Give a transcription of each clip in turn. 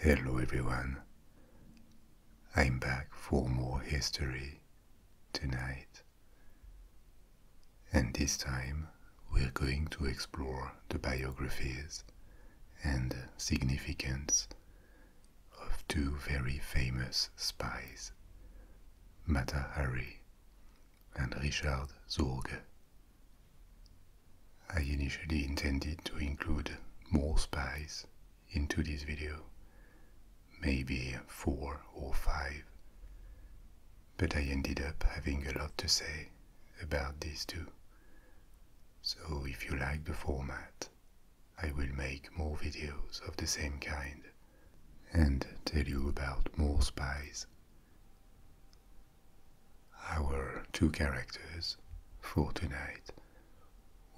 Hello everyone. I'm back for more history tonight. And this time we're going to explore the biographies and significance of two very famous spies, Mata Hari and Richard Zorge. I initially intended to include more spies into this video, maybe four or five, but I ended up having a lot to say about these two. So if you like the format, I will make more videos of the same kind and tell you about more spies. Our two characters for tonight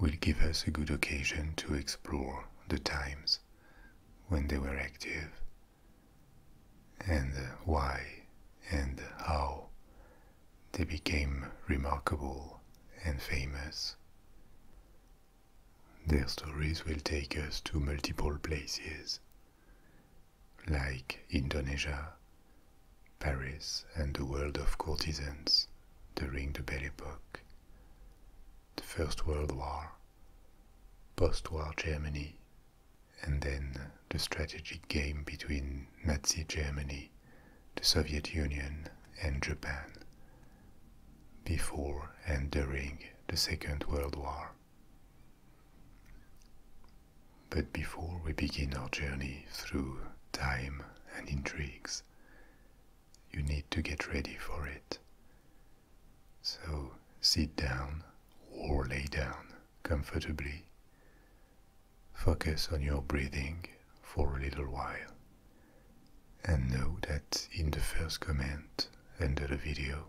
will give us a good occasion to explore the times when they were active and why and how they became remarkable and famous. Their stories will take us to multiple places like Indonesia, Paris, and the world of courtesans during the Belle Epoque, the First World War, post-war Germany, and then the strategic game between Nazi Germany, the Soviet Union, and Japan before and during the Second World War. But before we begin our journey through time and intrigues, you need to get ready for it. So sit down or lay down comfortably. Focus on your breathing for a little while. And know that in the first comment under the video,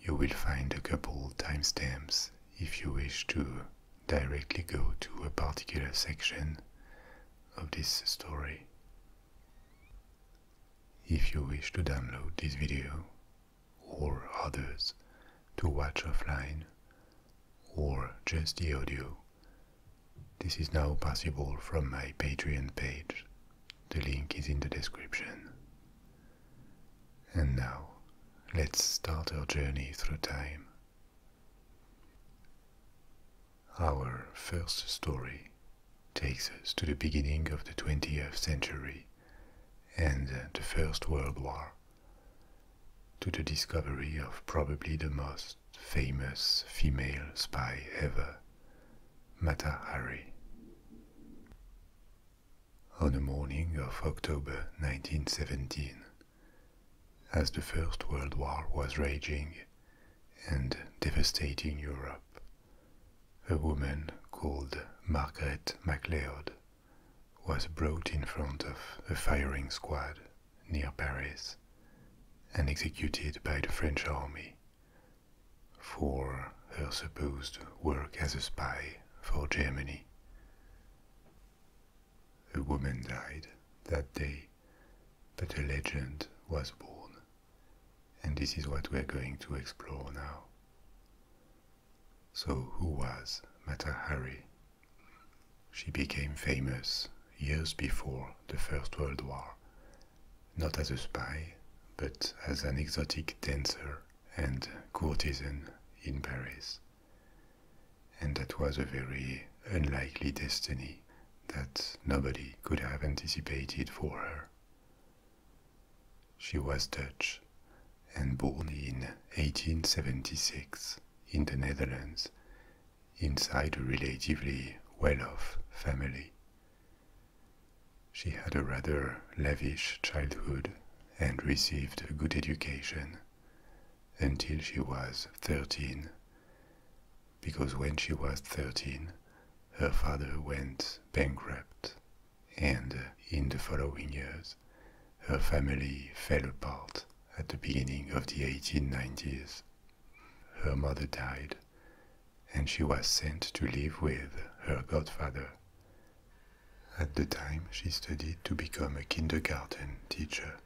you will find a couple timestamps if you wish to directly go to a particular section of this story. If you wish to download this video or others to watch offline or just the audio, this is now possible from my Patreon page. The link is in the description. And now, let's start our journey through time. Our first story takes us to the beginning of the 20th century and the First World War, to the discovery of probably the most famous female spy ever, Mata Hari on the morning of October 1917, as the First World War was raging and devastating Europe. A woman called Margaret MacLeod was brought in front of a firing squad near Paris and executed by the French army for her supposed work as a spy for Germany. A woman died that day, but a legend was born, and this is what we're going to explore now. So, who was Mata Hari? She became famous years before the First World War, not as a spy, but as an exotic dancer and courtesan in Paris. And that was a very unlikely destiny that nobody could have anticipated for her. She was Dutch and born in 1876 in the Netherlands inside a relatively well off family. She had a rather lavish childhood and received a good education until she was 13, because when she was 13, her father went bankrupt, and in the following years, her family fell apart at the beginning of the 1890s. Her mother died, and she was sent to live with her godfather, at the time, she studied to become a kindergarten teacher.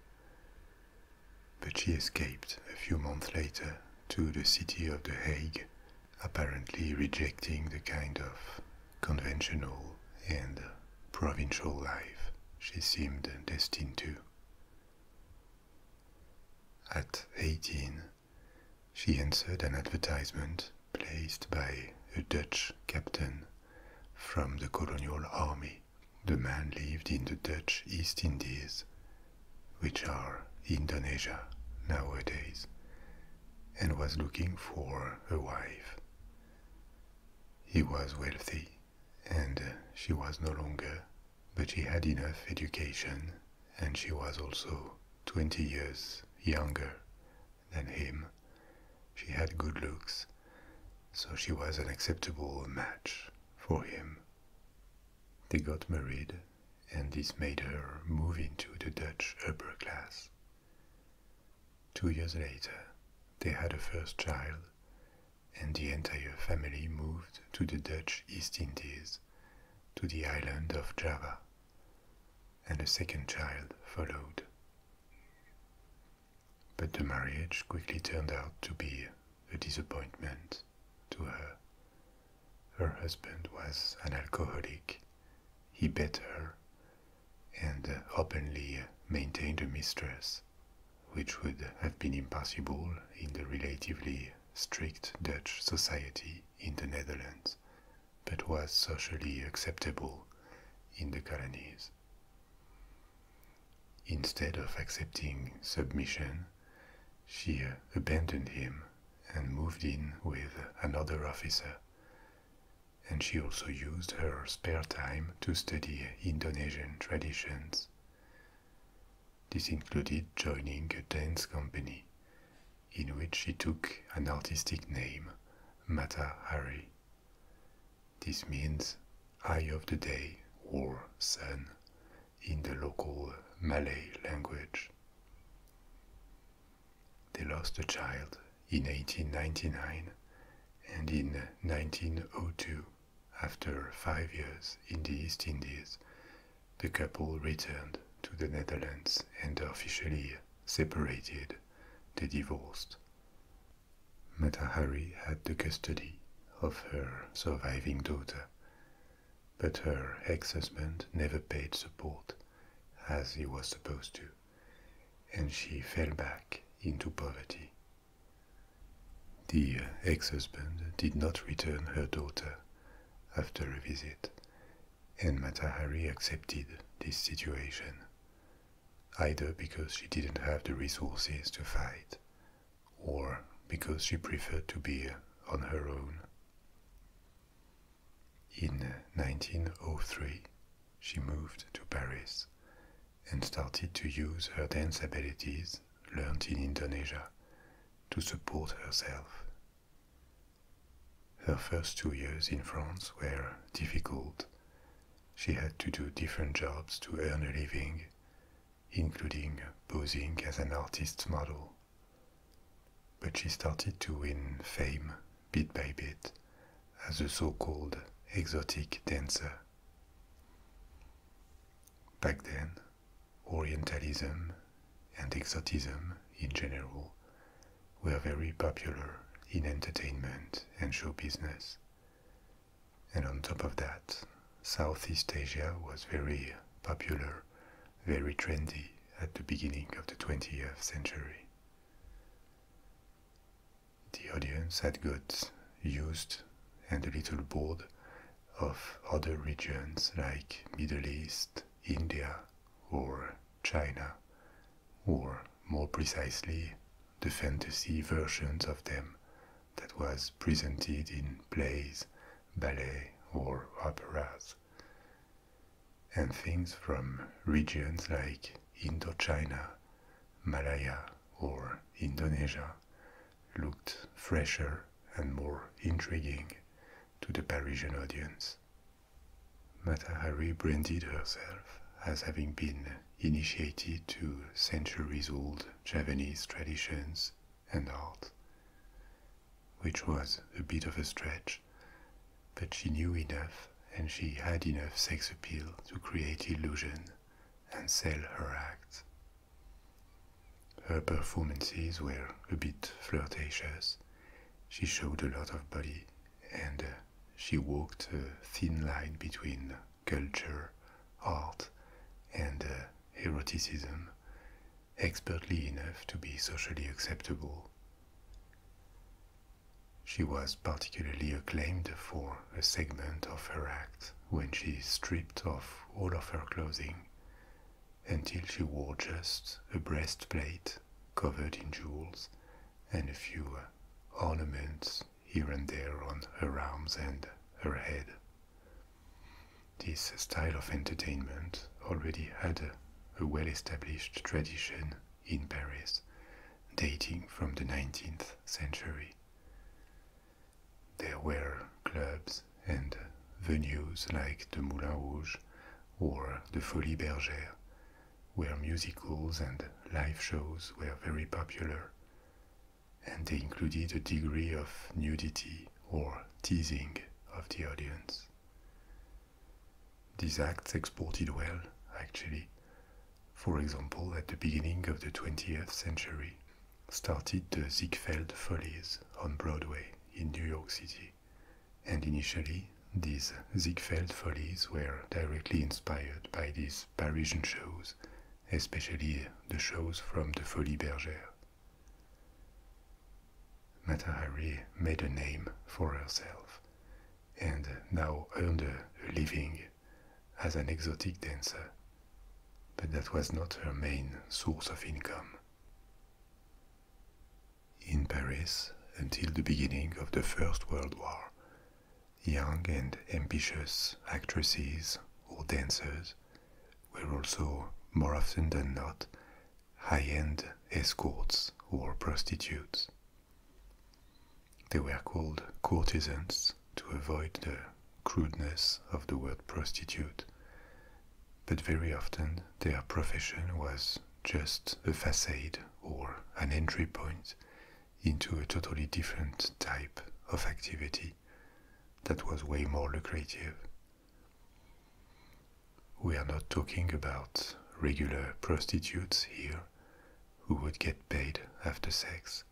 But she escaped a few months later to the city of The Hague, apparently rejecting the kind of conventional and provincial life she seemed destined to. At 18, she answered an advertisement placed by a Dutch captain from the colonial army. The man lived in the Dutch East Indies, which are Indonesia nowadays, and was looking for a wife. He was wealthy, and she was no longer, but she had enough education, and she was also 20 years younger than him. She had good looks, so she was an acceptable match for him. They got married, and this made her move into the Dutch upper class. Two years later, they had a first child, and the entire family moved to the Dutch East Indies, to the island of Java, and a second child followed. But the marriage quickly turned out to be a disappointment to her. Her husband was an alcoholic, he bet her, and openly maintained a mistress, which would have been impossible in the relatively strict Dutch society in the Netherlands, but was socially acceptable in the colonies. Instead of accepting submission, she uh, abandoned him and moved in with another officer. And she also used her spare time to study Indonesian traditions. This included joining a dance company in which she took an artistic name, Mata Hari. This means eye of the day or sun in the local Malay language. They lost a child in 1899 and in 1902, after five years in the East Indies, the couple returned to the Netherlands and officially separated. They divorced. Matahari had the custody of her surviving daughter, but her ex-husband never paid support as he was supposed to, and she fell back into poverty. The ex-husband did not return her daughter after a visit, and Matahari accepted this situation either because she didn't have the resources to fight or because she preferred to be on her own. In 1903, she moved to Paris and started to use her dance abilities learned in Indonesia to support herself. Her first two years in France were difficult, she had to do different jobs to earn a living, including posing as an artist's model. But she started to win fame bit by bit as a so called exotic dancer. Back then, Orientalism and exoticism in general were very popular in entertainment and show business. And on top of that, Southeast Asia was very popular, very trendy at the beginning of the 20th century. The audience had got used and a little bored of other regions like Middle East, India or China, or more precisely the fantasy versions of them that was presented in plays, ballets, or operas. And things from regions like Indochina, Malaya, or Indonesia looked fresher and more intriguing to the Parisian audience. Mata branded herself as having been initiated to centuries old Javanese traditions and art, which was a bit of a stretch, but she knew enough and she had enough sex appeal to create illusion and sell her act. Her performances were a bit flirtatious. She showed a lot of body and uh, she walked a thin line between culture, art, and uh, eroticism, expertly enough to be socially acceptable. She was particularly acclaimed for a segment of her act when she stripped off all of her clothing until she wore just a breastplate covered in jewels and a few uh, ornaments here and there on her arms and her head. This style of entertainment already had a, well established tradition in Paris, dating from the 19th century. There were clubs and venues like the Moulin Rouge or the Folie Bergère where musicals and live shows were very popular, and they included a degree of nudity or teasing of the audience. These acts exported well, actually. For example, at the beginning of the 20th century, started the Ziegfeld Follies on Broadway in New York City, and initially these Ziegfeld Follies were directly inspired by these Parisian shows, especially the shows from the Folie Bergère. Matahari made a name for herself and now earned a living as an exotic dancer, but that was not her main source of income. In Paris, until the beginning of the First World War, Young and ambitious actresses or dancers were also, more often than not, high end escorts or prostitutes. They were called courtesans to avoid the crudeness of the word prostitute, but very often their profession was just a facade or an entry point into a totally different type of activity that was way more lucrative. We are not talking about regular prostitutes here who would get paid after sex.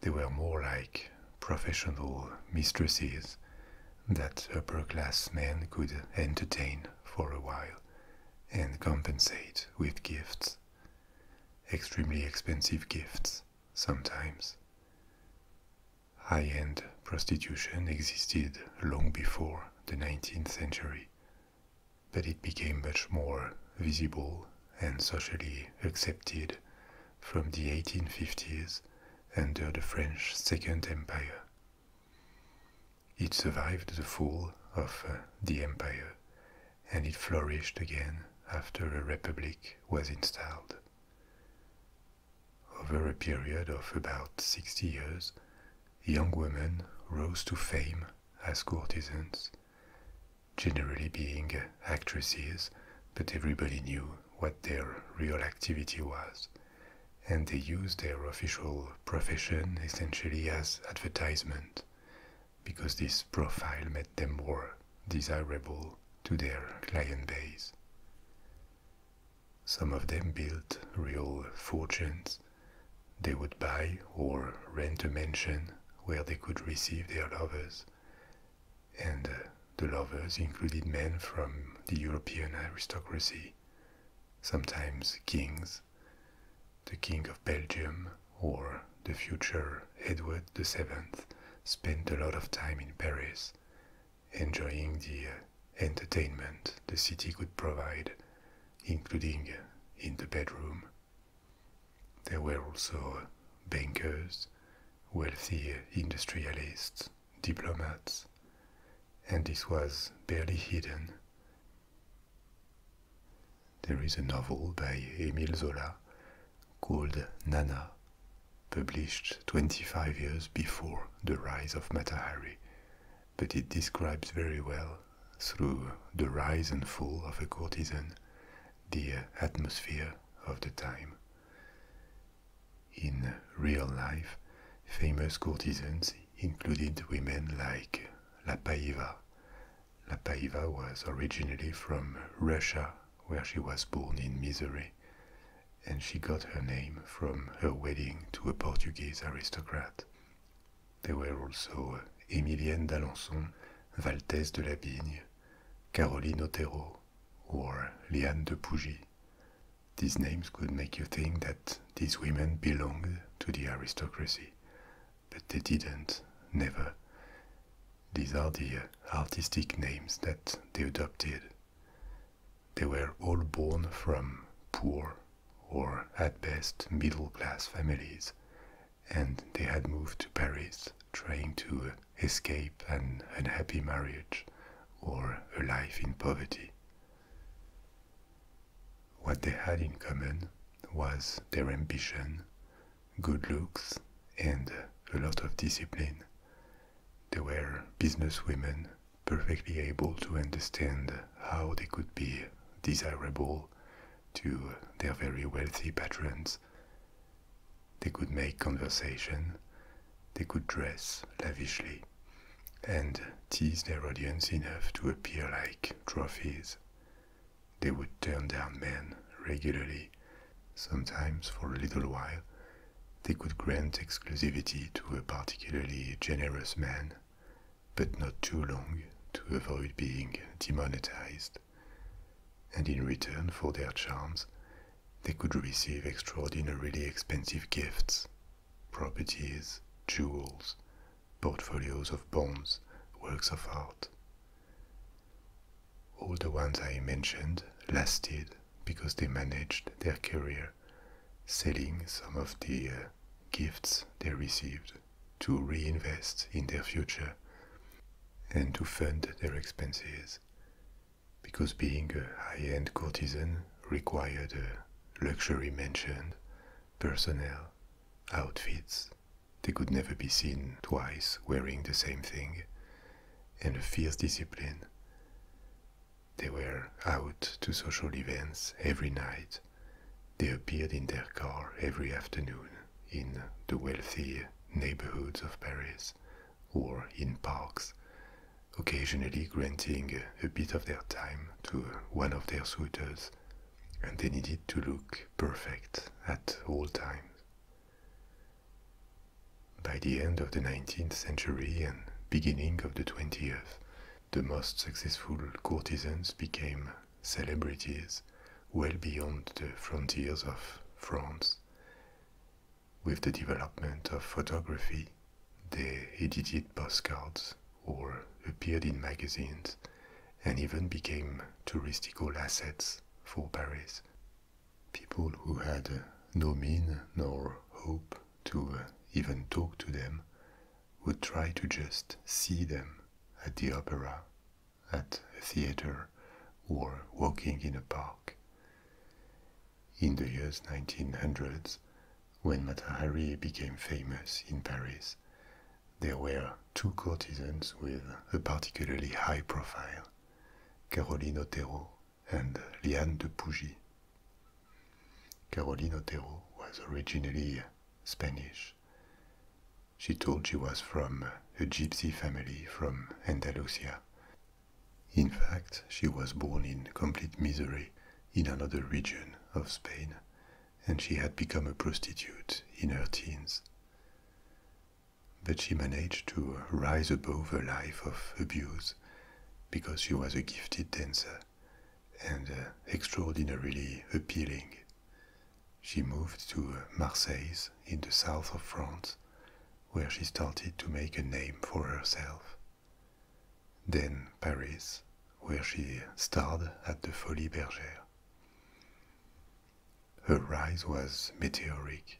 They were more like professional mistresses that upper class men could entertain for a while and compensate with gifts extremely expensive gifts sometimes. High end prostitution existed long before the 19th century, but it became much more visible and socially accepted from the 1850s under the French Second Empire. It survived the fall of uh, the empire and it flourished again after a republic was installed. Over a period of about 60 years, young women rose to fame as courtesans, generally being uh, actresses, but everybody knew what their real activity was, and they used their official profession essentially as advertisement because this profile made them more desirable to their client base. Some of them built real fortunes. They would buy or rent a mansion where they could receive their lovers. And uh, the lovers included men from the European aristocracy, sometimes kings the King of Belgium or the future Edward VII spent a lot of time in Paris, enjoying the uh, entertainment the city could provide, including in the bedroom. There were also bankers, wealthy industrialists, diplomats, and this was barely hidden there is a novel by Emile Zola called Nana, published 25 years before the rise of Mata Hari, but it describes very well, through the rise and fall of a courtesan, the atmosphere of the time. In real life, famous courtesans included women like La Paiva, Lapaiva was originally from Russia, where she was born in misery, and she got her name from her wedding to a Portuguese aristocrat. There were also Emilienne d'Alençon, Valtès de la Bigne, Caroline Otero, or Liane de Pougy. These names could make you think that these women belonged to the aristocracy, but they didn't, never. These are the artistic names that they adopted. They were all born from poor or at best middle class families, and they had moved to Paris trying to escape an unhappy marriage or a life in poverty. What they had in common was their ambition, good looks, and a lot of discipline. They were businesswomen, perfectly able to understand how they could be desirable to their very wealthy patrons. They could make conversation, they could dress lavishly, and tease their audience enough to appear like trophies. They would turn down men regularly. Sometimes, for a little while, they could grant exclusivity to a particularly generous man, but not too long to avoid being demonetized. And in return for their charms, they could receive extraordinarily expensive gifts, properties, jewels, portfolios of bonds, works of art. All the ones I mentioned lasted because they managed their career, selling some of the uh, gifts they received to reinvest in their future and to fund their expenses. Because being a high end courtesan required a luxury mansion, personnel, outfits, they could never be seen twice wearing the same thing, and a fierce discipline. They were out to social events every night. They appeared in their car every afternoon in the wealthy neighborhoods of Paris or in parks, occasionally granting a bit of their time to one of their suitors and they needed to look perfect at all times. By the end of the 19th century and beginning of the 20th, the most successful courtesans became celebrities well beyond the frontiers of France. With the development of photography, they edited postcards or appeared in magazines and even became touristical assets for Paris. People who had no mean nor hope to uh, even talk to them would try to just see them at the opera, at a theater, or walking in a park. In the years 1900s, when Matahari became famous in Paris, there were two courtesans with a particularly high profile, Carolina Otero and Liane de Pougy. Carolina Otero was originally Spanish. She told she was from a gypsy family from Andalusia. In fact, she was born in complete misery in another region of Spain and she had become a prostitute in her teens. But she managed to rise above a life of abuse because she was a gifted dancer and uh, extraordinarily appealing. She moved to Marseilles in the south of France, where she started to make a name for herself. Then Paris, where she starred at the Folies Bergère. Her rise was meteoric.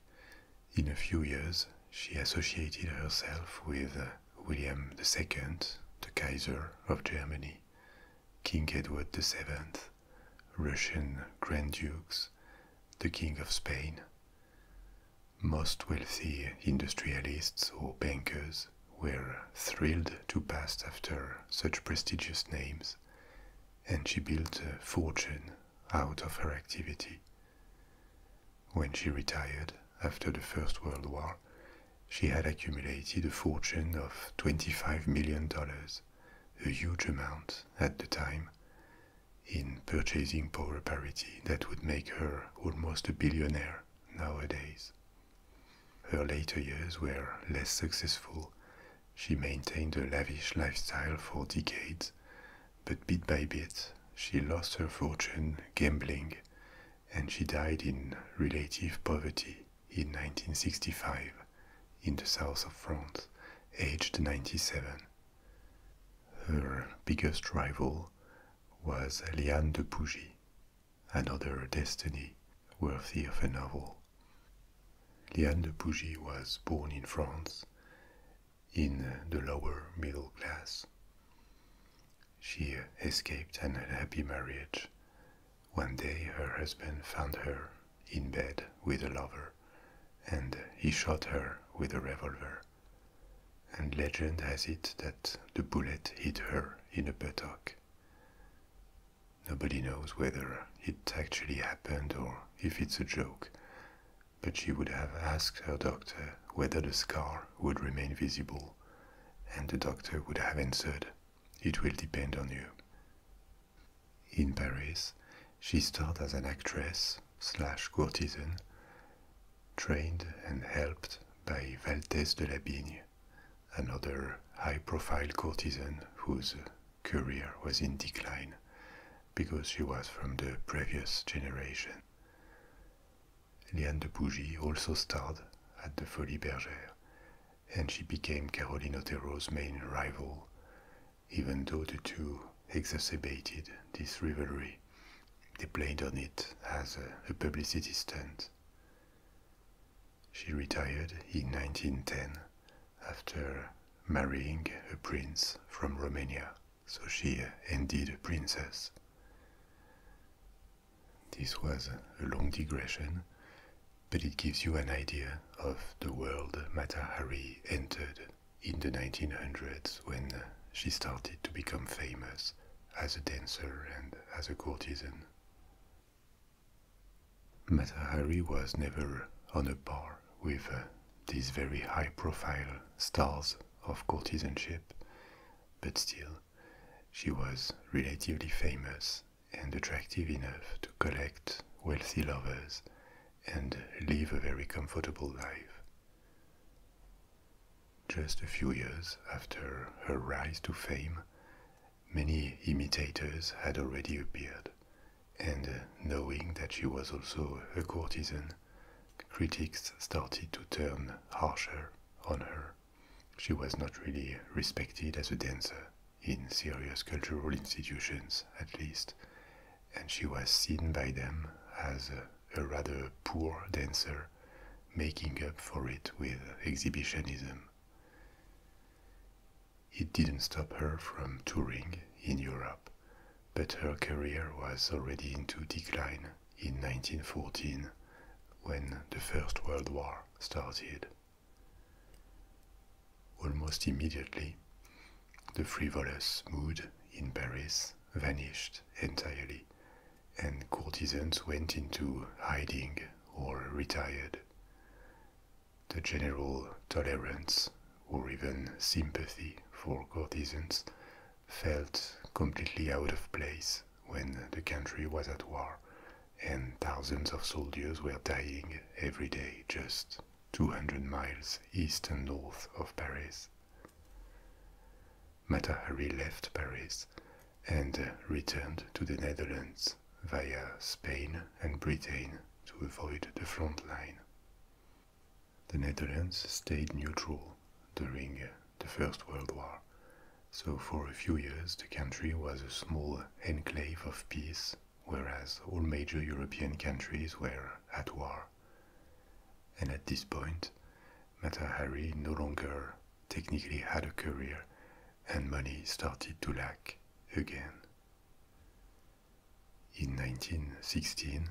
In a few years, she associated herself with William II, the Kaiser of Germany, King Edward VII, Russian Grand Dukes, the King of Spain, most wealthy industrialists or bankers, were thrilled to pass after such prestigious names, and she built a fortune out of her activity. When she retired after the First World War, she had accumulated a fortune of $25 million, a huge amount at the time, in purchasing power parity that would make her almost a billionaire nowadays. Her later years were less successful. She maintained a lavish lifestyle for decades, but bit by bit she lost her fortune gambling and she died in relative poverty in 1965 in the south of France, aged 97. Her biggest rival was Aliane de Pougy, another destiny worthy of a novel. Liane de Pougy was born in France, in the lower middle class. She escaped an unhappy marriage. One day her husband found her in bed with a lover, and he shot her with a revolver. And legend has it that the bullet hit her in the buttock. Nobody knows whether it actually happened or if it's a joke, but she would have asked her doctor whether the scar would remain visible, and the doctor would have answered, It will depend on you. In Paris, she starred as an actress slash courtesan, trained and helped by Valtès de Labigne, another high profile courtesan whose career was in decline because she was from the previous generation. Liane de Bougie also starred at the Folie Bergère, and she became Caroline Otero's main rival, even though the two exacerbated this rivalry. They played on it as a publicity stunt. She retired in 1910 after marrying a prince from Romania, so she ended a princess. This was a long digression, but it gives you an idea of the world Matahari entered in the 1900s when she started to become famous as a dancer and as a courtesan. Matahari was never on a par with uh, these very high profile stars of courtesanship, but still, she was relatively famous and attractive enough to collect wealthy lovers and live a very comfortable life. Just a few years after her rise to fame, many imitators had already appeared, and uh, knowing that she was also a courtesan, critics started to turn harsher on her. She was not really respected as a dancer, in serious cultural institutions at least, and she was seen by them as a, rather poor dancer, making up for it with exhibitionism. It didn't stop her from touring in Europe, but her career was already into decline in 1914 when the First World War started. Almost immediately, the frivolous mood in Paris vanished entirely, and courtesans went into hiding or retired the general tolerance or even sympathy for courtesans felt completely out of place when the country was at war and thousands of soldiers were dying every day just 200 miles east and north of Paris. Matahari left Paris and returned to the Netherlands via Spain and Britain to avoid the front line. The Netherlands stayed neutral during the First World War, so for a few years the country was a small enclave of peace, whereas all major European countries were at war. And at this point, Mata Hari no longer technically had a career and money started to lack again. In 1916,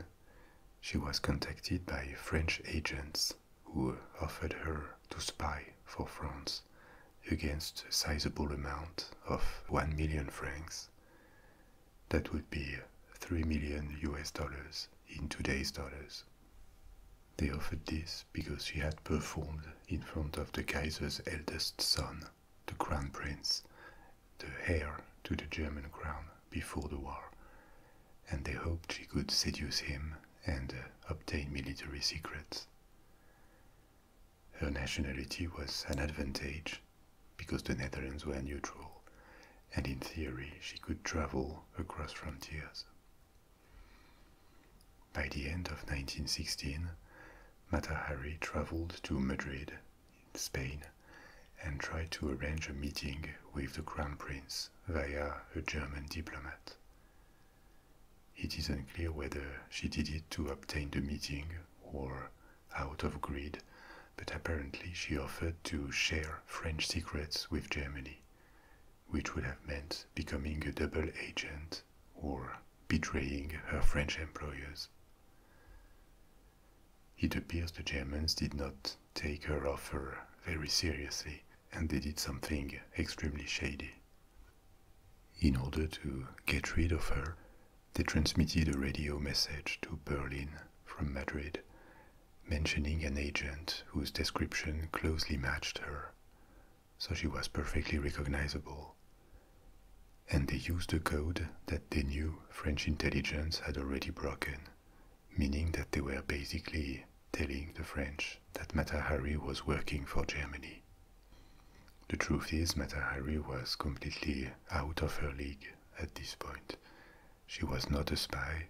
she was contacted by French agents who offered her to spy for France against a sizable amount of 1 million francs. That would be 3 million US dollars in today's dollars. They offered this because she had performed in front of the Kaiser's eldest son, the Crown Prince, the heir to the German crown before the war, and they hoped she could seduce him and uh, obtain military secrets. Her nationality was an advantage because the Netherlands were neutral, and in theory she could travel across frontiers. By the end of 1916, Matahari traveled to Madrid, Spain, and tried to arrange a meeting with the Crown Prince via a German diplomat. It is unclear whether she did it to obtain the meeting or out of greed, but apparently she offered to share French secrets with Germany, which would have meant becoming a double agent or betraying her French employers. It appears the Germans did not take her offer very seriously and they did something extremely shady. In order to get rid of her, they transmitted a radio message to Berlin from Madrid, mentioning an agent whose description closely matched her so she was perfectly recognizable. And they used a code that they knew French intelligence had already broken, meaning that they were basically telling the French that Matahari was working for Germany. The truth is, Matahari was completely out of her league at this point. She was not a spy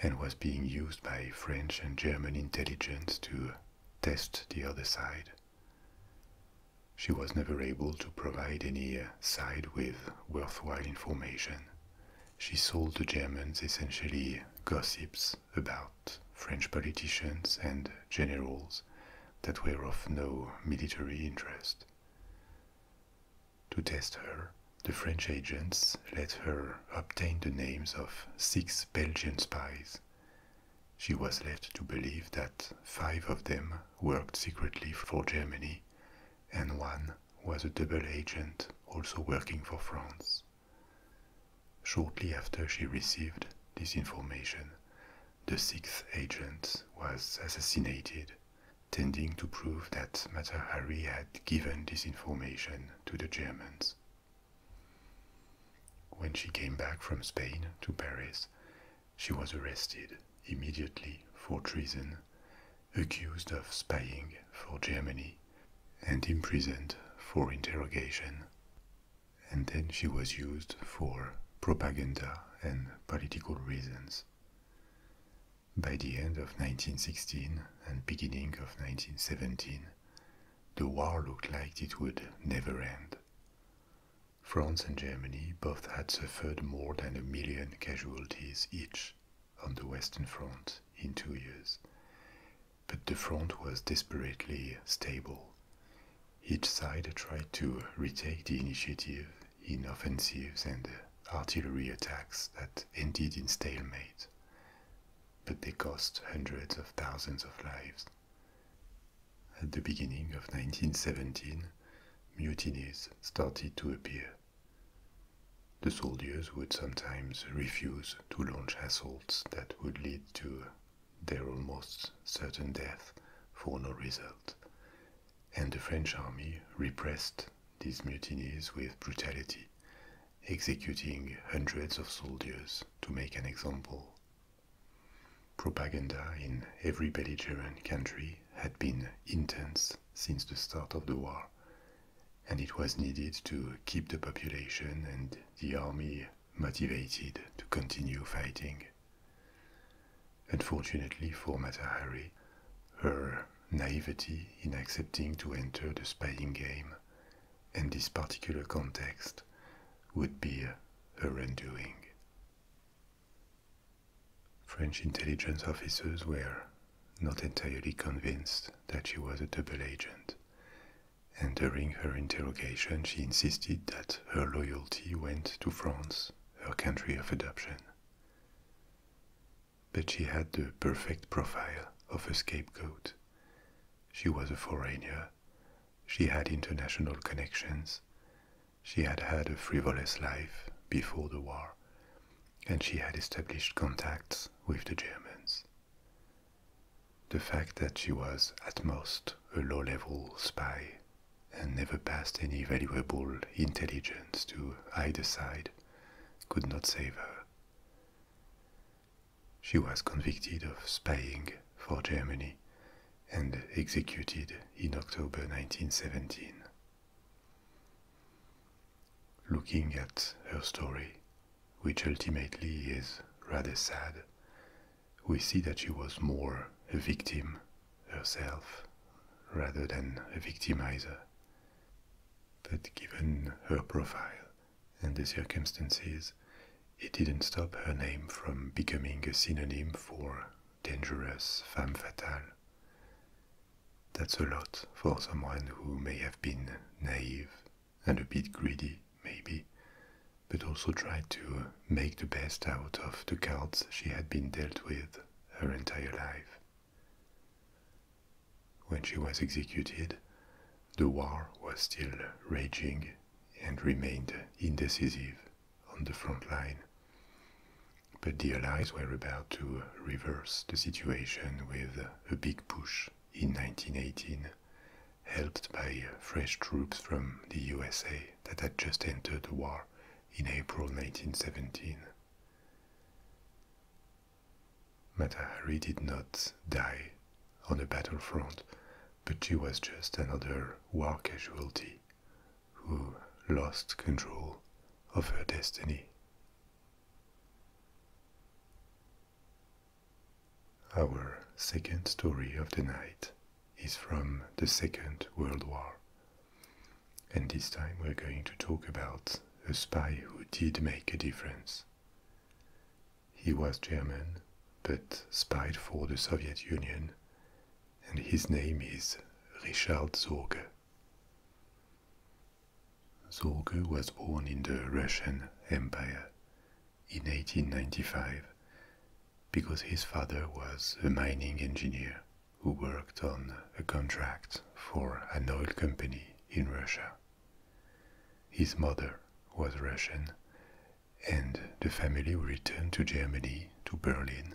and was being used by French and German intelligence to test the other side she was never able to provide any side with worthwhile information. She sold the Germans essentially gossips about French politicians and generals that were of no military interest. To test her, the French agents let her obtain the names of six Belgian spies she was led to believe that five of them worked secretly for Germany, and one was a double agent also working for France. Shortly after she received this information, the sixth agent was assassinated, tending to prove that Matahari had given this information to the Germans. When she came back from Spain to Paris, she was arrested immediately for treason, accused of spying for Germany, and imprisoned for interrogation. And then she was used for propaganda and political reasons. By the end of 1916 and beginning of 1917, the war looked like it would never end. France and Germany both had suffered more than a million casualties each on the Western Front in two years. But the front was desperately stable. Each side tried to retake the initiative in offensives and artillery attacks that ended in stalemate, but they cost hundreds of thousands of lives. At the beginning of 1917, mutinies started to appear. The soldiers would sometimes refuse to launch assaults that would lead to their almost certain death for no result. And the French army repressed these mutinies with brutality, executing hundreds of soldiers to make an example. Propaganda in every belligerent country had been intense since the start of the war, and it was needed to keep the population and the army motivated to continue fighting. Unfortunately for Matahari, her naivety in accepting to enter the spying game and this particular context would be her uh, undoing. French intelligence officers were not entirely convinced that she was a double agent, and during her interrogation, she insisted that her loyalty went to France, her country of adoption. But she had the perfect profile of a scapegoat. She was a foreigner she had international connections. She had had a frivolous life before the war, and she had established contacts with the Germans. The fact that she was at most a low level spy and never passed any valuable intelligence to either side could not save her. She was convicted of spying for Germany and executed in October 1917. Looking at her story, which ultimately is rather sad, we see that she was more a victim herself rather than a victimizer. But given her profile and the circumstances, it didn't stop her name from becoming a synonym for dangerous femme fatale. That's a lot for someone who may have been naive and a bit greedy, maybe, but also tried to make the best out of the cards she had been dealt with her entire life. When she was executed, the war was still raging and remained indecisive on the front line. But the Allies were about to reverse the situation with a big push in 1918, helped by fresh troops from the USA that had just entered the war in April 1917. Matahari did not die on the battlefront but she was just another war casualty who lost control of her destiny. Our second story of the night is from the Second World War. And this time we're going to talk about a spy who did make a difference. He was German, but spied for the Soviet Union, and his name is Richard Zorge. Zorge was born in the Russian Empire in 1895 because his father was a mining engineer who worked on a contract for an oil company in Russia. His mother was Russian and the family returned to Germany, to Berlin,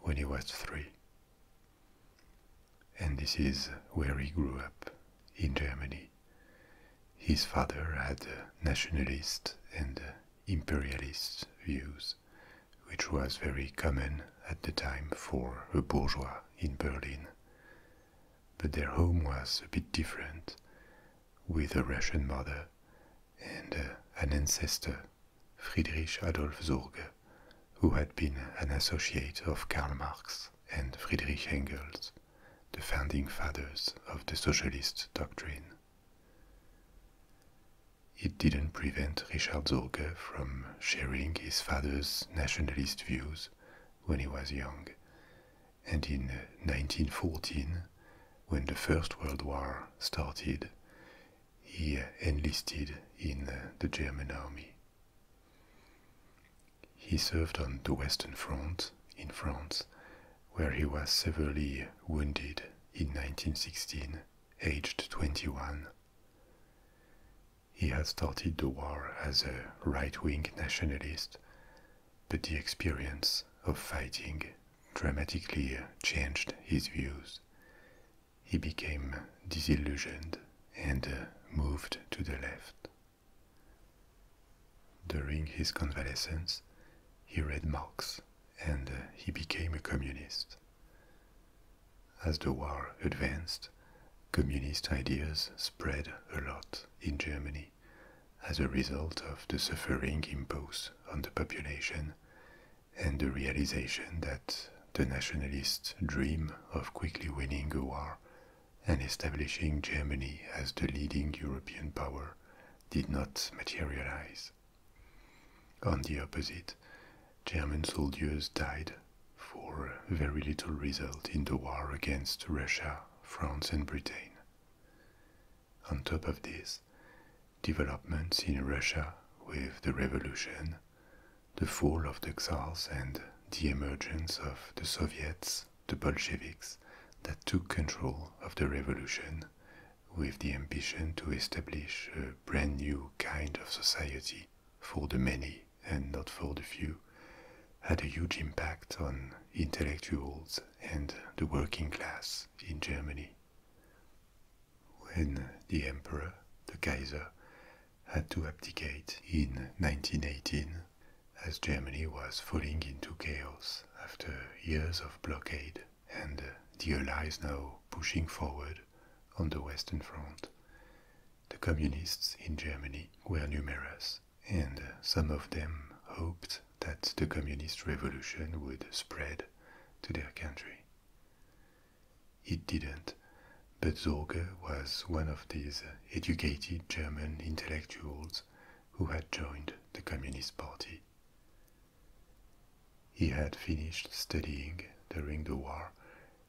when he was three. And this is where he grew up, in Germany. His father had nationalist and imperialist views, which was very common at the time for a bourgeois in Berlin. But their home was a bit different, with a Russian mother and uh, an ancestor, Friedrich Adolf Sorge, who had been an associate of Karl Marx and Friedrich Engels, the founding fathers of the socialist doctrine. It didn't prevent Richard Sorge from sharing his father's nationalist views when he was young, and in 1914, uh, when the First World War started, he uh, enlisted in uh, the German army. He served on the Western Front in France, where he was severely wounded in 1916, aged 21. He had started the war as a right wing nationalist, but the experience of fighting dramatically changed his views. He became disillusioned and moved to the left. During his convalescence, he read Marx and he became a communist. As the war advanced, communist ideas spread a lot in Germany as a result of the suffering imposed on the population and the realization that the nationalist dream of quickly winning a war and establishing Germany as the leading European power did not materialize. On the opposite, German soldiers died for very little result in the war against Russia, France, and Britain. On top of this, developments in Russia with the revolution, the fall of the Tsars, and the emergence of the Soviets, the Bolsheviks, that took control of the revolution with the ambition to establish a brand new kind of society for the many and not for the few, had a huge impact on intellectuals and the working class in Germany. When the emperor, the Kaiser, had to abdicate in 1918, as Germany was falling into chaos after years of blockade and the Allies now pushing forward on the Western Front. The communists in Germany were numerous, and some of them hoped that the communist revolution would spread to their country. It didn't, but Zorge was one of these educated German intellectuals who had joined the Communist Party. He had finished studying during the war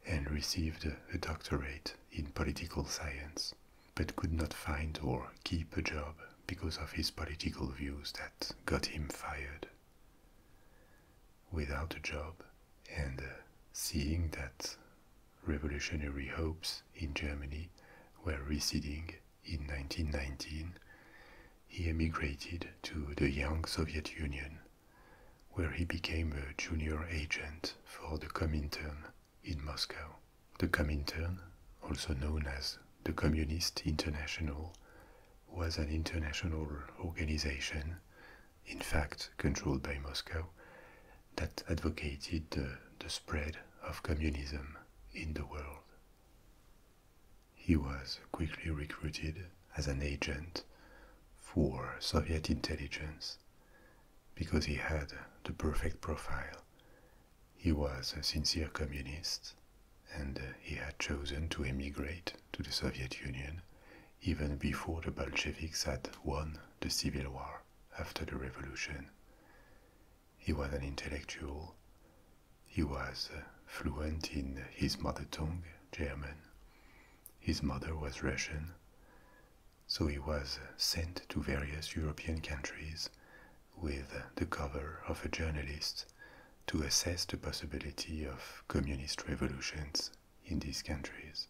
and received a doctorate in political science but could not find or keep a job because of his political views that got him fired. Without a job and uh, seeing that revolutionary hopes in Germany were receding in 1919, he emigrated to the young Soviet Union, where he became a junior agent for the Comintern in Moscow. The Comintern, also known as the Communist International, was an international organization, in fact controlled by Moscow, that advocated the, the spread of communism in the world. He was quickly recruited as an agent for Soviet intelligence because he had the perfect profile he was a sincere communist, and uh, he had chosen to emigrate to the Soviet Union even before the Bolsheviks had won the Civil War after the revolution. He was an intellectual. He was uh, fluent in his mother tongue, German. His mother was Russian. So he was uh, sent to various European countries with the cover of a journalist to assess the possibility of communist revolutions in these countries.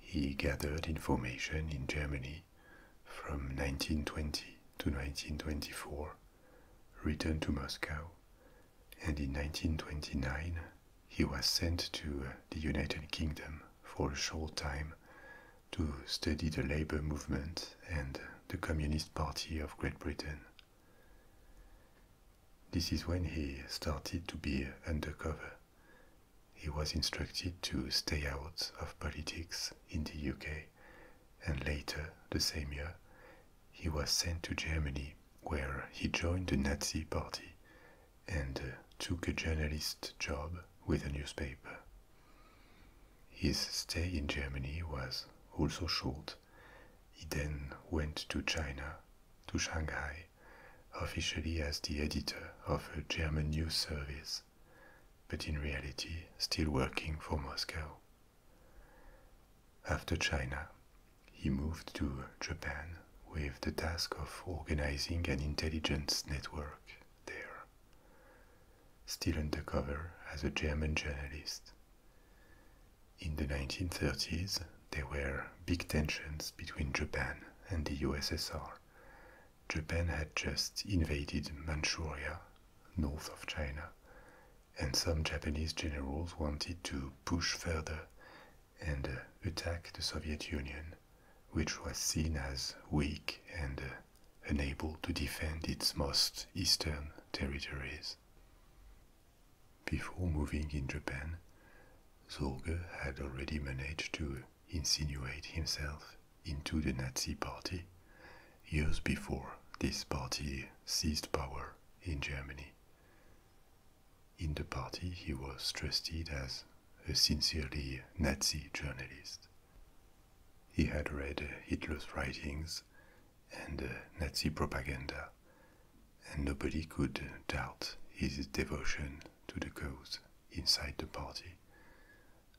He gathered information in Germany from 1920 to 1924, returned to Moscow, and in 1929 he was sent to the United Kingdom for a short time to study the labor movement and the Communist Party of Great Britain. This is when he started to be undercover. He was instructed to stay out of politics in the UK, and later, the same year, he was sent to Germany, where he joined the Nazi Party and took a journalist job with a newspaper. His stay in Germany was also short. He then went to China, to Shanghai, officially as the editor of a German news service, but in reality still working for Moscow. After China, he moved to Japan with the task of organizing an intelligence network there still undercover as a German journalist. In the 1930s, there were big tensions between Japan and the USSR. Japan had just invaded Manchuria, north of China, and some Japanese generals wanted to push further and uh, attack the Soviet Union which was seen as weak and uh, unable to defend its most eastern territories. Before moving in Japan, Zorger had already managed to insinuate himself into the Nazi party years before this party seized power in Germany. In the party, he was trusted as a sincerely Nazi journalist. He had read Hitler's writings and Nazi propaganda, and nobody could doubt his devotion to the cause inside the party,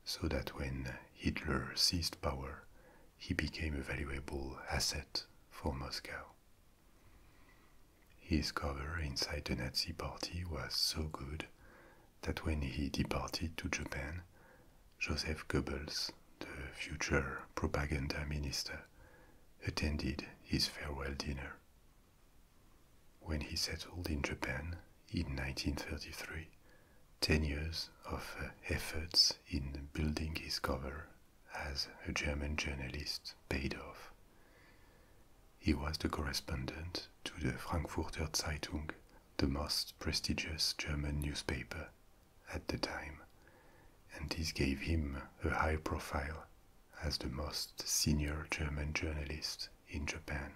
so that when Hitler seized power, he became a valuable asset for Moscow. His cover inside the Nazi party was so good that when he departed to Japan, Joseph Goebbels, the future propaganda minister, attended his farewell dinner. When he settled in Japan in 1933, ten years of uh, efforts in building his cover as a German journalist paid off. He was the correspondent to the Frankfurter Zeitung the most prestigious German newspaper at the time, and this gave him a high profile as the most senior German journalist in Japan.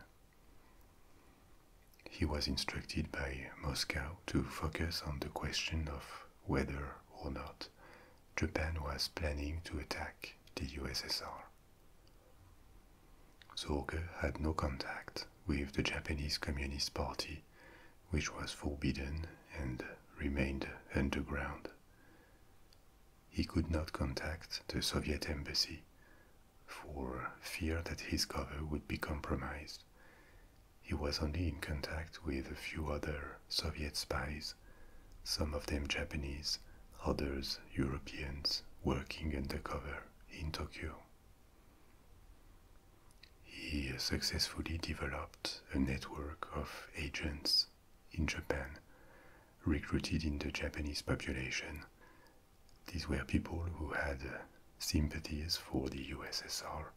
He was instructed by Moscow to focus on the question of whether or not Japan was planning to attack the USSR. Zorge had no contact with the Japanese Communist Party, which was forbidden and remained underground. He could not contact the Soviet embassy for fear that his cover would be compromised. He was only in contact with a few other Soviet spies, some of them Japanese, others Europeans working undercover in Tokyo. He successfully developed a network of agents in Japan recruited in the Japanese population. These were people who had sympathies for the USSR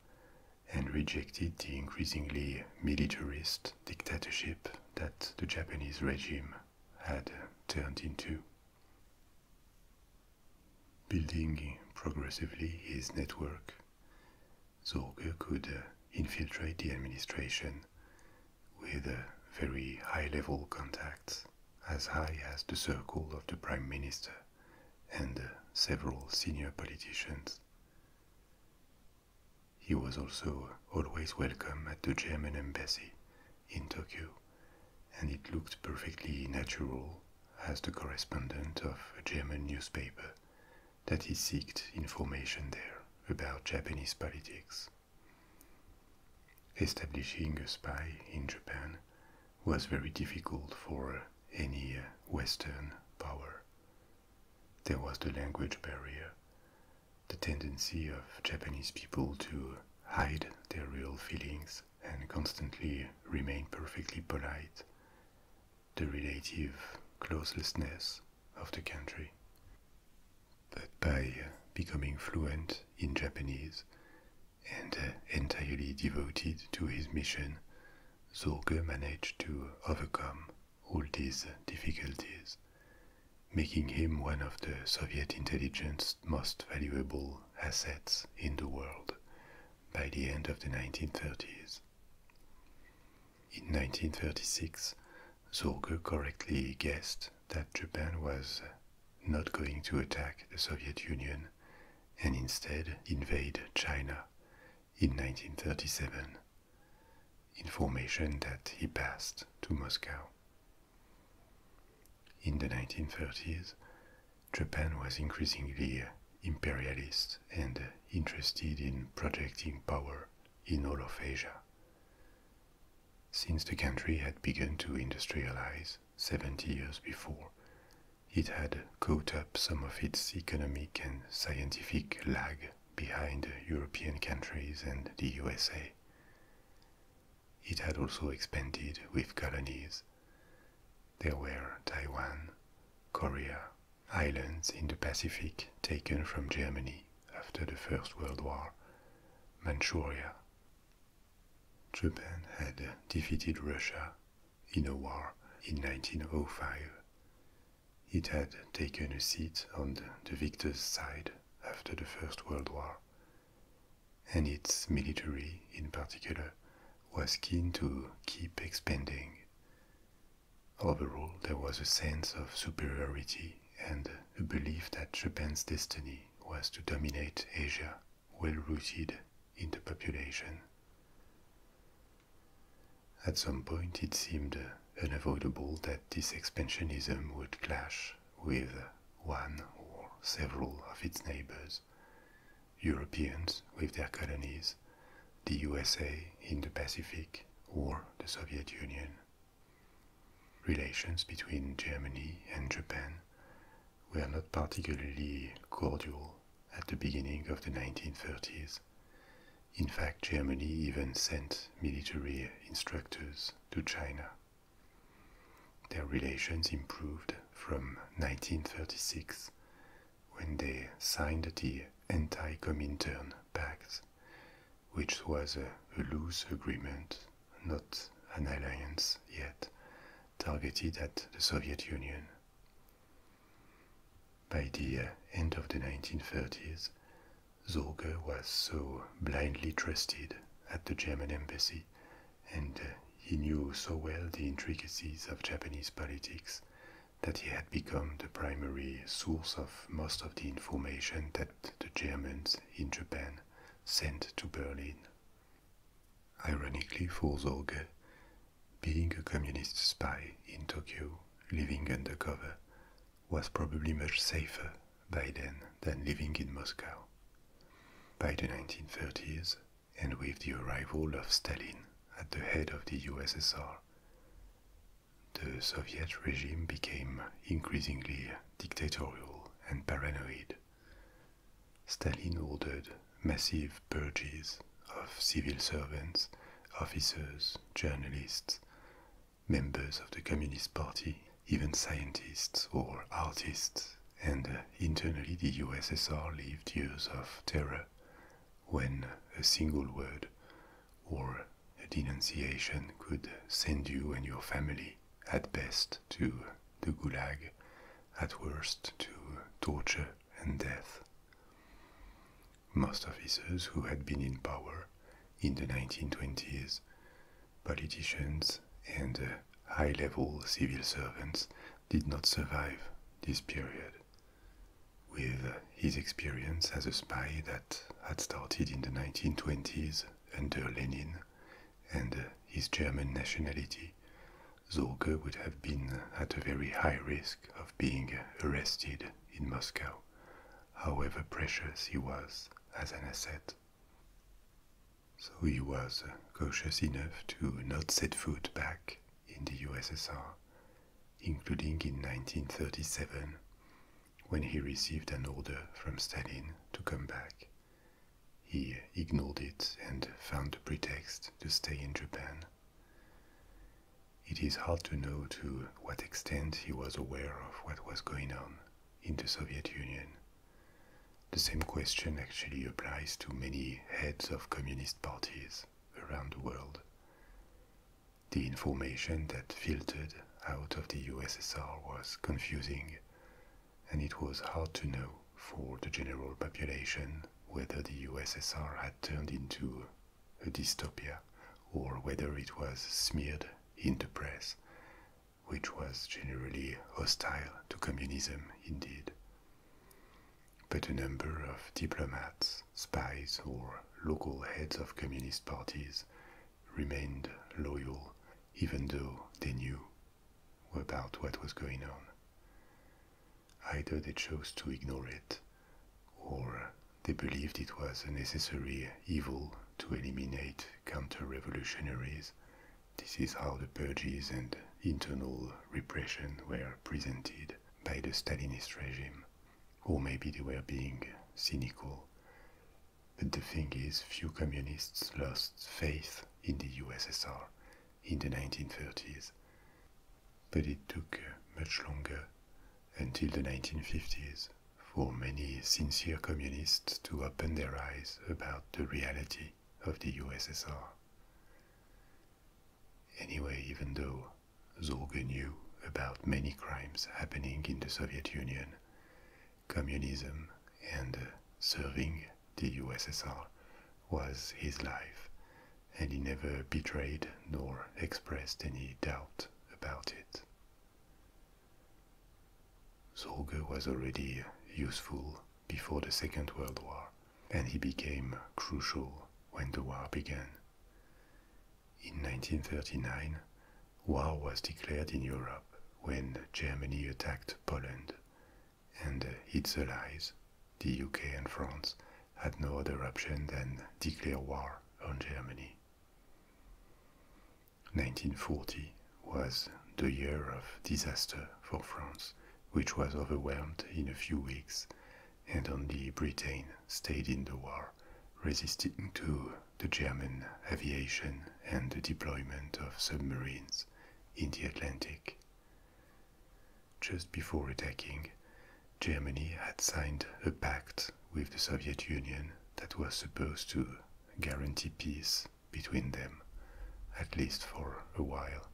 and rejected the increasingly militarist dictatorship that the Japanese regime had turned into Building progressively his network, Zorge could uh, infiltrate the administration with very high level contacts, as high as the circle of the Prime Minister and uh, several senior politicians. He was also always welcome at the German embassy in Tokyo and it looked perfectly natural as the correspondent of a German newspaper that he sought information there about Japanese politics. Establishing a spy in Japan was very difficult for any Western power. There was the language barrier, the tendency of Japanese people to hide their real feelings, and constantly remain perfectly polite, the relative closelessness of the country. But by uh, becoming fluent in Japanese and uh, entirely devoted to his mission, Zorge managed to overcome all these difficulties, making him one of the Soviet intelligence's most valuable assets in the world by the end of the 1930s. In 1936, Zorge correctly guessed that Japan was not going to attack the Soviet Union and instead invade China in 1937, information that he passed to Moscow. In the 1930s, Japan was increasingly imperialist and interested in projecting power in all of Asia. Since the country had begun to industrialize 70 years before, it had caught up some of its economic and scientific lag behind European countries and the USA. It had also expanded with colonies. There were Taiwan, Korea, islands in the Pacific taken from Germany after the First World War, Manchuria. Japan had defeated Russia in a war in 1905. It had taken a seat on the victor's side after the First World War and its military in particular was keen to keep expanding. Overall, there was a sense of superiority and a belief that Japan's destiny was to dominate Asia, well rooted in the population. At some point, it seemed unavoidable that this expansionism would clash with one or several of its neighbors, Europeans with their colonies, the USA in the Pacific, or the Soviet Union. Relations between Germany and Japan were not particularly cordial at the beginning of the 1930s. In fact, Germany even sent military instructors to China their relations improved from 1936 when they signed the Anti-Comintern Pact, which was a, a loose agreement, not an alliance yet, targeted at the Soviet Union. By the uh, end of the 1930s, Zorge was so blindly trusted at the German embassy and uh, he knew so well the intricacies of Japanese politics that he had become the primary source of most of the information that the Germans in Japan sent to Berlin. Ironically for Zorge, being a communist spy in Tokyo, living undercover, was probably much safer by then than living in Moscow. By the 1930s, and with the arrival of Stalin at the head of the USSR, the Soviet regime became increasingly dictatorial and paranoid. Stalin ordered massive purges of civil servants, officers, journalists, members of the Communist Party, even scientists or artists, and internally the USSR lived years of terror when a single word or a denunciation could send you and your family, at best, to the gulag, at worst, to torture and death. Most officers who had been in power in the 1920s, politicians and uh, high level civil servants did not survive this period. With uh, his experience as a spy that had started in the 1920s under Lenin and uh, his German nationality, Zorge would have been at a very high risk of being arrested in Moscow, however precious he was as an asset. So he was cautious enough to not set foot back in the USSR, including in 1937 when he received an order from Stalin to come back. He ignored it and found a pretext to stay in Japan. It is hard to know to what extent he was aware of what was going on in the Soviet Union the same question actually applies to many heads of communist parties around the world. The information that filtered out of the USSR was confusing, and it was hard to know for the general population whether the USSR had turned into a dystopia or whether it was smeared in the press which was generally hostile to communism indeed. But a number of diplomats, spies, or local heads of communist parties remained loyal, even though they knew about what was going on. Either they chose to ignore it, or they believed it was a necessary evil to eliminate counter revolutionaries this is how the purges and internal repression were presented by the Stalinist regime. Or maybe they were being cynical. But the thing is, few communists lost faith in the USSR in the 1930s. But it took uh, much longer, until the 1950s, for many sincere communists to open their eyes about the reality of the USSR. Anyway, even though Zorge knew about many crimes happening in the Soviet Union, communism and uh, serving the USSR was his life, and he never betrayed nor expressed any doubt about it. Sorge was already useful before the Second World War, and he became crucial when the war began. In 1939, war was declared in Europe when Germany attacked Poland, and its allies, the UK and France, had no other option than declare war on Germany. 1940 was the year of disaster for France, which was overwhelmed in a few weeks, and only Britain stayed in the war, resisting to the German aviation and the deployment of submarines in the Atlantic. Just before attacking, Germany had signed a pact with the Soviet Union that was supposed to guarantee peace between them, at least for a while,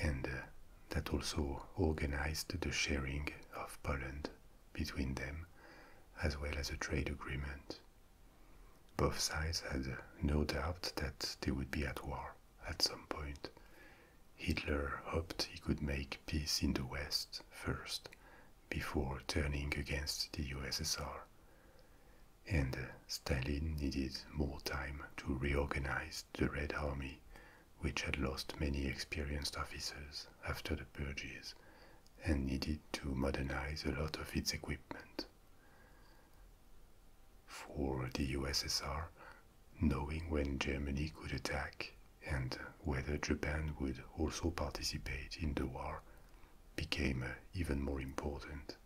and uh, that also organized the sharing of Poland between them, as well as a trade agreement. Both sides had no doubt that they would be at war at some point. Hitler hoped he could make peace in the West first, before turning against the USSR and Stalin needed more time to reorganize the Red Army, which had lost many experienced officers after the purges and needed to modernize a lot of its equipment. For the USSR, knowing when Germany could attack and whether Japan would also participate in the war became even more important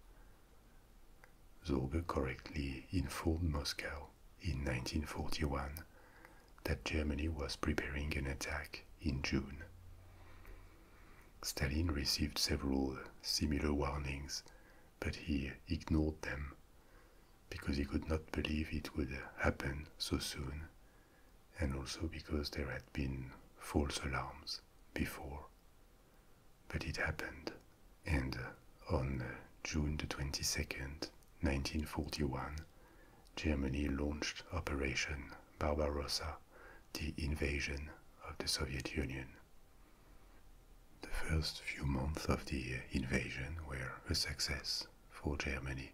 Zorge correctly informed Moscow in 1941 that Germany was preparing an attack in June. Stalin received several similar warnings, but he ignored them because he could not believe it would happen so soon, and also because there had been false alarms before. But it happened, and on June the 22nd, 1941, Germany launched Operation Barbarossa, the invasion of the Soviet Union. The first few months of the invasion were a success for Germany,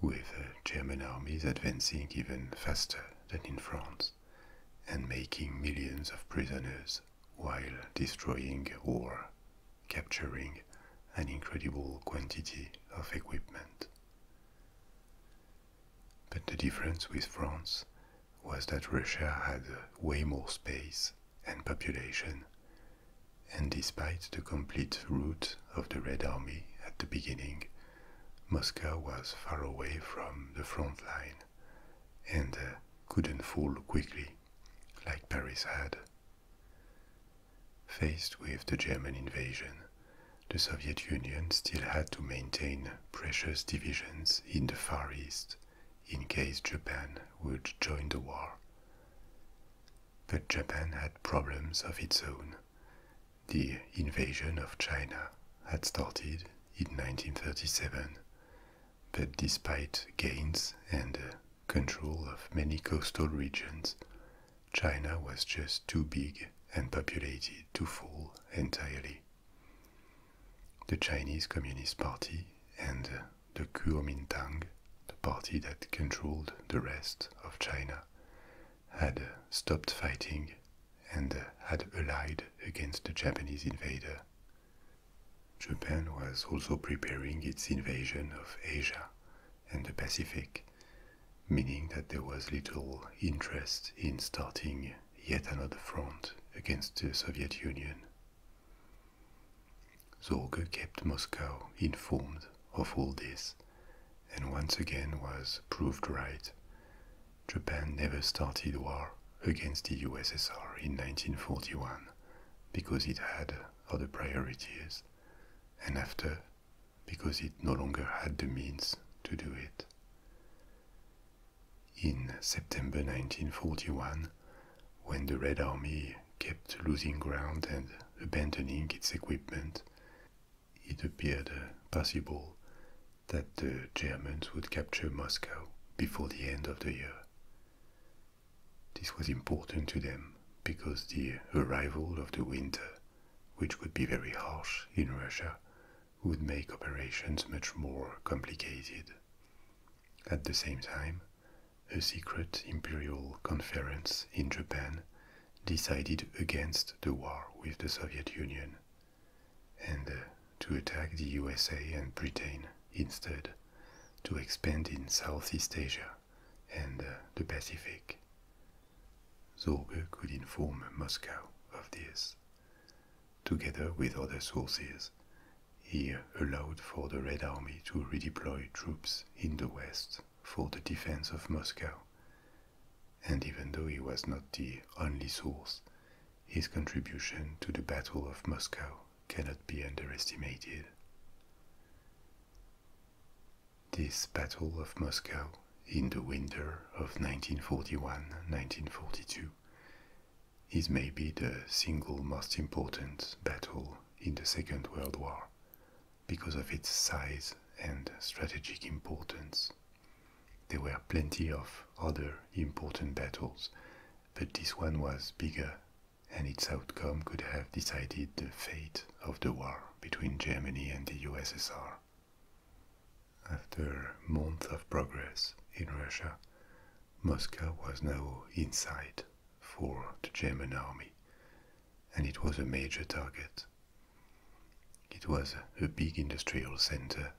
with German armies advancing even faster than in France and making millions of prisoners while destroying or capturing an incredible quantity of equipment. But the difference with France was that Russia had way more space and population, and despite the complete rout of the Red Army at the beginning, Moscow was far away from the front line and uh, couldn't fall quickly like Paris had. Faced with the German invasion, the Soviet Union still had to maintain precious divisions in the Far East in case Japan would join the war. But Japan had problems of its own. The invasion of China had started in 1937, but despite gains and uh, control of many coastal regions, China was just too big and populated to fall entirely. The Chinese Communist Party and uh, the Kuomintang, the party that controlled the rest of China, had uh, stopped fighting and had allied against the Japanese invader. Japan was also preparing its invasion of Asia and the Pacific, meaning that there was little interest in starting yet another front against the Soviet Union. Zorge kept Moscow informed of all this and once again was proved right Japan never started war against the USSR in 1941 because it had other priorities, and after, because it no longer had the means to do it. In September 1941, when the Red Army kept losing ground and abandoning its equipment, it appeared possible that the Germans would capture Moscow before the end of the year. This was important to them because the arrival of the winter, which would be very harsh in Russia, would make operations much more complicated. At the same time, a secret imperial conference in Japan decided against the war with the Soviet Union and uh, to attack the USA and Britain instead to expand in Southeast Asia and uh, the Pacific. Zorba could inform Moscow of this. Together with other sources, he allowed for the Red Army to redeploy troops in the West for the defense of Moscow. And even though he was not the only source, his contribution to the Battle of Moscow cannot be underestimated. This Battle of Moscow in the winter of 1941-1942 is maybe the single most important battle in the Second World War because of its size and strategic importance. There were plenty of other important battles, but this one was bigger, and its outcome could have decided the fate of the war between Germany and the USSR. After months of progress in Russia, Moscow was now in sight for the German army, and it was a major target. It was a big industrial center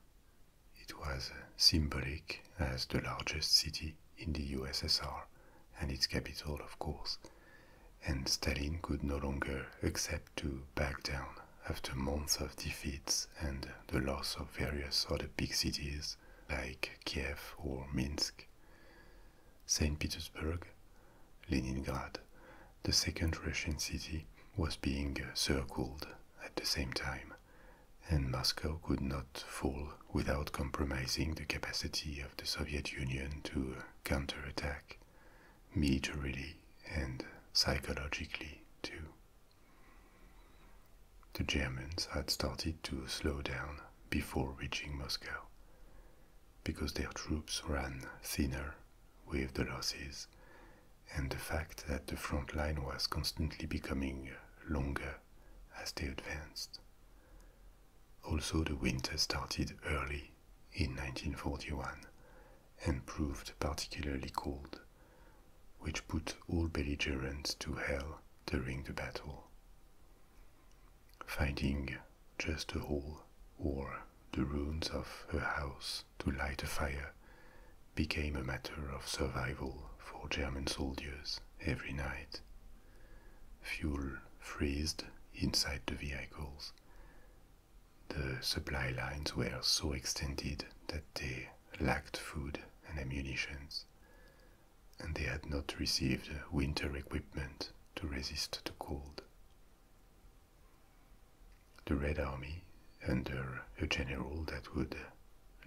it was symbolic as the largest city in the USSR and its capital, of course, and Stalin could no longer accept to back down after months of defeats and the loss of various other big cities like Kiev or Minsk. St. Petersburg, Leningrad, the second Russian city, was being circled at the same time, and Moscow could not fall without compromising the capacity of the Soviet Union to counterattack, militarily and psychologically too. The Germans had started to slow down before reaching Moscow because their troops ran thinner with the losses and the fact that the front line was constantly becoming longer as they advanced. Also, the winter started early in 1941 and proved particularly cold, which put all belligerents to hell during the battle. Finding just a hole or the ruins of her house to light a fire became a matter of survival for German soldiers every night. Fuel froze inside the vehicles. The supply lines were so extended that they lacked food and ammunition, and they had not received winter equipment to resist the cold the Red Army under a general that would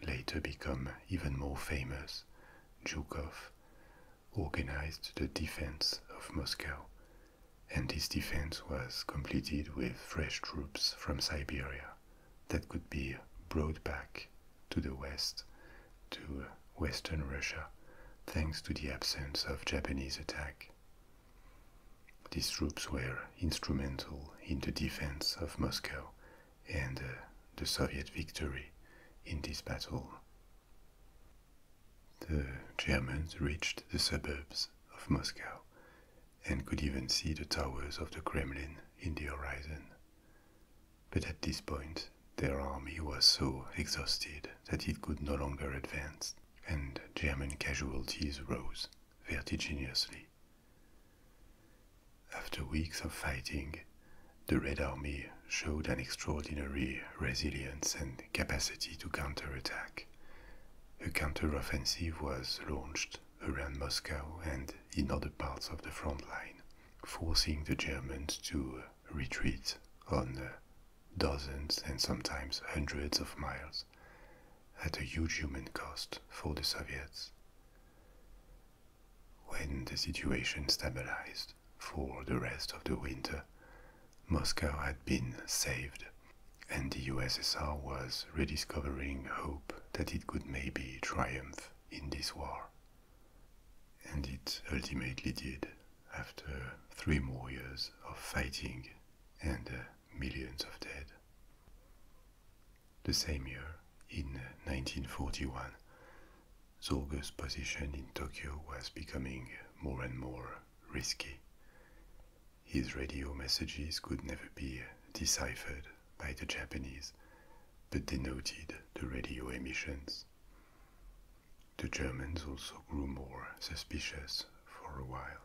later become even more famous, Zhukov, organized the defense of Moscow, and this defense was completed with fresh troops from Siberia that could be brought back to the west, to western Russia, thanks to the absence of Japanese attack. These troops were instrumental in the defense of Moscow and uh, the Soviet victory in this battle. The Germans reached the suburbs of Moscow and could even see the towers of the Kremlin in the horizon. But at this point, their army was so exhausted that it could no longer advance, and German casualties rose vertiginously. After weeks of fighting, the Red Army showed an extraordinary resilience and capacity to counterattack. A counteroffensive was launched around Moscow and in other parts of the front line, forcing the Germans to retreat on dozens and sometimes hundreds of miles wars at a huge human cost for the Soviets. When the situation stabilized for the rest of the winter, Moscow had been saved, and the USSR was rediscovering hope that it could maybe triumph in this war. And it ultimately did, after three more years of fighting and uh, millions of dead. The same year, in 1941, Zorge's position in Tokyo was becoming more and more risky. His radio messages could never be deciphered by the Japanese, but denoted the radio emissions. The Germans also grew more suspicious for a while,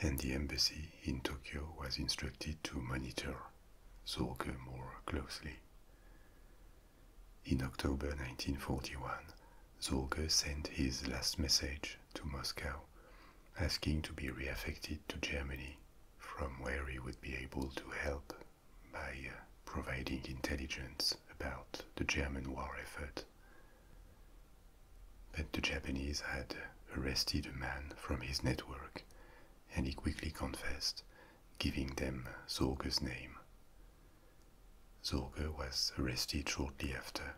and the embassy in Tokyo was instructed to monitor Zorge more closely. In October 1941, Zorge sent his last message to Moscow, asking to be re-affected to Germany, from where he would be able to help by uh, providing intelligence about the German war effort. But the Japanese had arrested a man from his network, and he quickly confessed, giving them Zorge's name. Zorge was arrested shortly after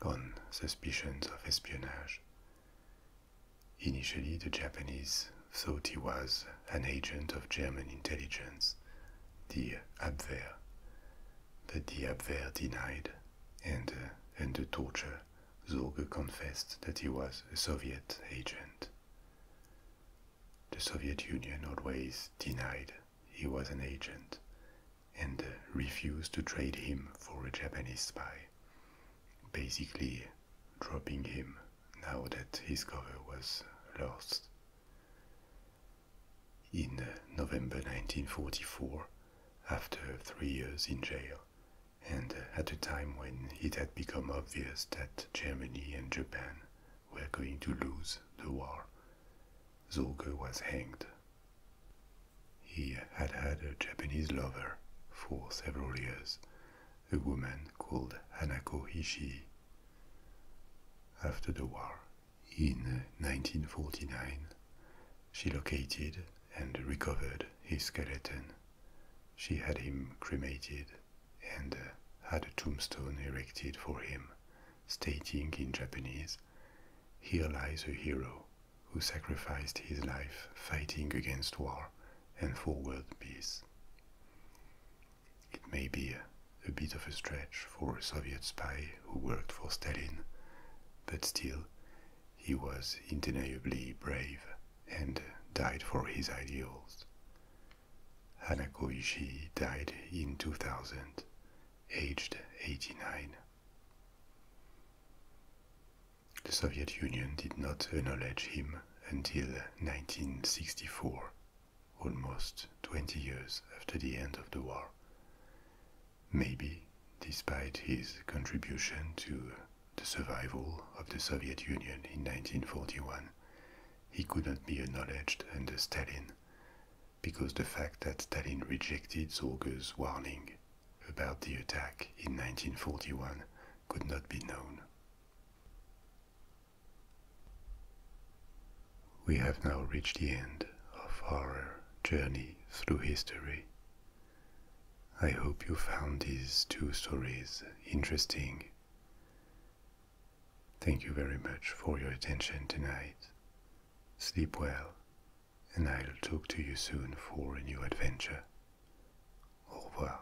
on suspicions of espionage. Initially, the Japanese thought he was an agent of German intelligence, the Abwehr, but the Abwehr denied, and uh, under torture, Zorge confessed that he was a Soviet agent. The Soviet Union always denied he was an agent and refused to trade him for a Japanese spy, basically dropping him now that his cover was lost. In November 1944, after three years in jail, and at a time when it had become obvious that Germany and Japan were going to lose the war, Zorge was hanged. He had had a Japanese lover for several years, a woman called Hanako Ishii. After the war, in 1949, she located and recovered his skeleton. She had him cremated and had a tombstone erected for him, stating in Japanese, Here lies a hero who sacrificed his life fighting against war and for world peace. It may be a bit of a stretch for a Soviet spy who worked for Stalin, but still, he was undeniably brave and died for his ideals. Hanako Ishii died in 2000, aged 89. The Soviet Union did not acknowledge him until 1964, almost 20 years after the end of the war maybe despite his contribution to the survival of the Soviet Union in 1941, he could not be acknowledged under Stalin because the fact that Stalin rejected Zorger's warning about the attack in 1941 could not be known. We have now reached the end of our journey through history I hope you found these two stories interesting. Thank you very much for your attention tonight. Sleep well, and I'll talk to you soon for a new adventure. Au revoir.